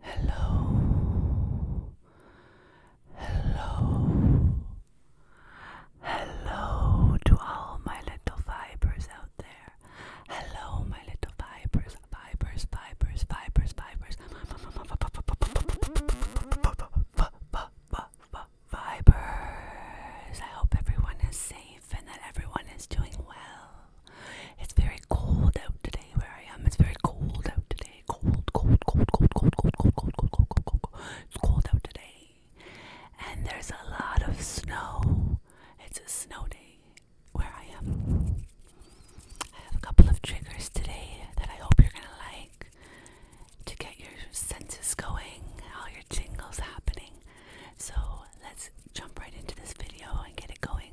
Hello, hello, hello to all my little fibers out there. Hello, my little fibers, fibers, fibers, fibers, fibers, fibers. I hope everyone is safe and that everyone is doing well. It's very cold out today where I am. It's very cold out today. Cold, cold, cold, cold, cold, cold, cold, cold, cold, cold, cold, cold. It's cold out today. And there's a lot of snow. It's a snow day where I am. I have a couple of triggers today that I hope you're gonna like to get your senses going, all your tingles happening. So let's jump right into this video and get it going.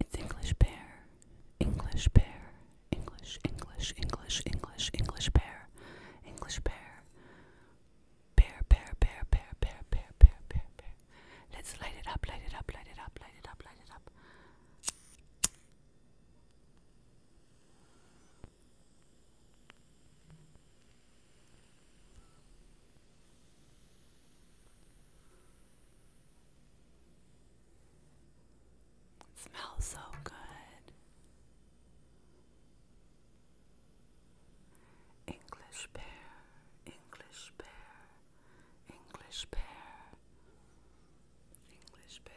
It's English pear, English pear, English, English, English, English, English pear, English pear, pear, pear, pear, pear, pear, pear, pear, pear, pear. Let's light it up, light it up, light it up, light it up, light it up smells so good. English pear, English pear, English pear, English pear.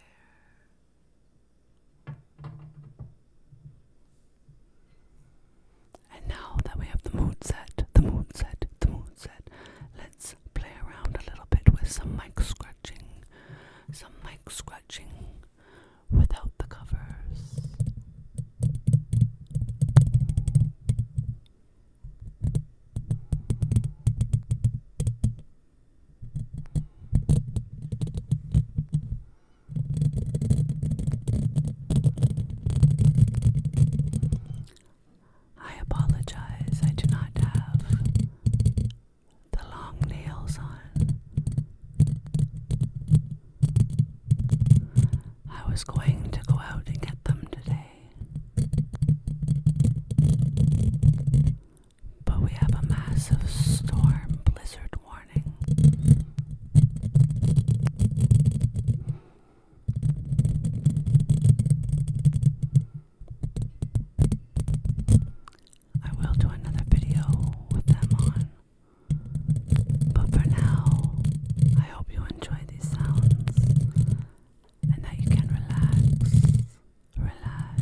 And now that we have the mood set, the mood set, the mood set, let's play around a little bit with some mic scratching, some mic scratching without the covers. I apologize, I do not have the long nails on. I was going to go out and get them today, but we have a massive storm blizzard I will do another video with them on. But for now, I hope you enjoy these sounds and that you can relax, relax,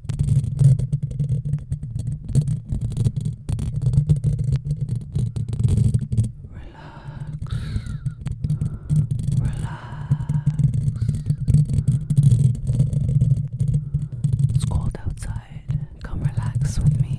Relax, relax. It's cold outside. Come relax with me.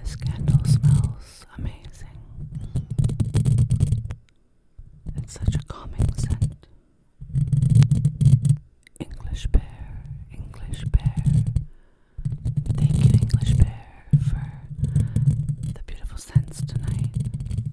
This candle smells amazing. It's such a calming scent. English Bear, English Bear. Thank you, English Bear, for the beautiful scents tonight.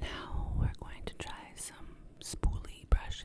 Now we're going to try some spoolie brushes.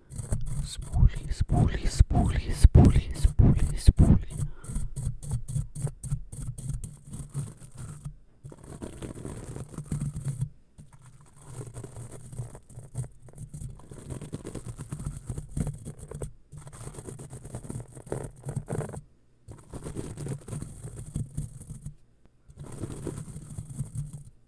Spoolie, spoolie, spoolie, spoolie, spoolie, spoolie. Spoolie,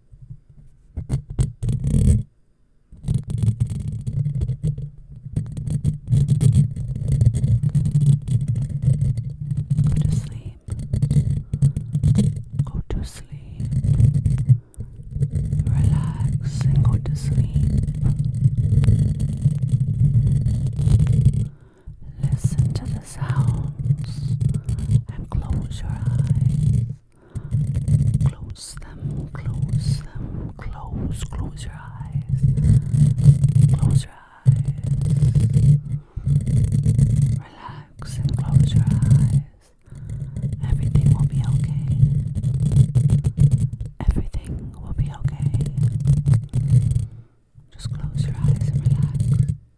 Go to sleep. Go to sleep. Relax and go to sleep. Listen to sounds and close your eyes. Close them, close them, close, close your eyes. Close your eyes. Relax and close your eyes. Everything will be okay. Everything will be okay. Just close your eyes and relax.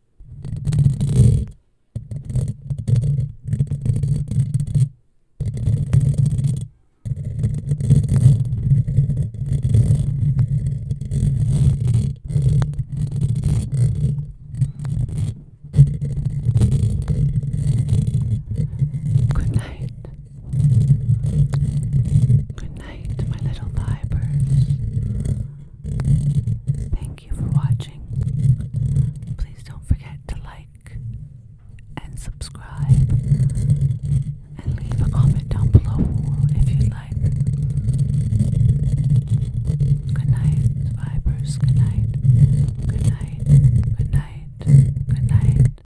Good night. Good night, my little liebers. Thank you for watching. Please don't forget to like and subscribe and leave a comment down below if you'd like. Good night, Vibers. Good night. Good night. Good night. Good night.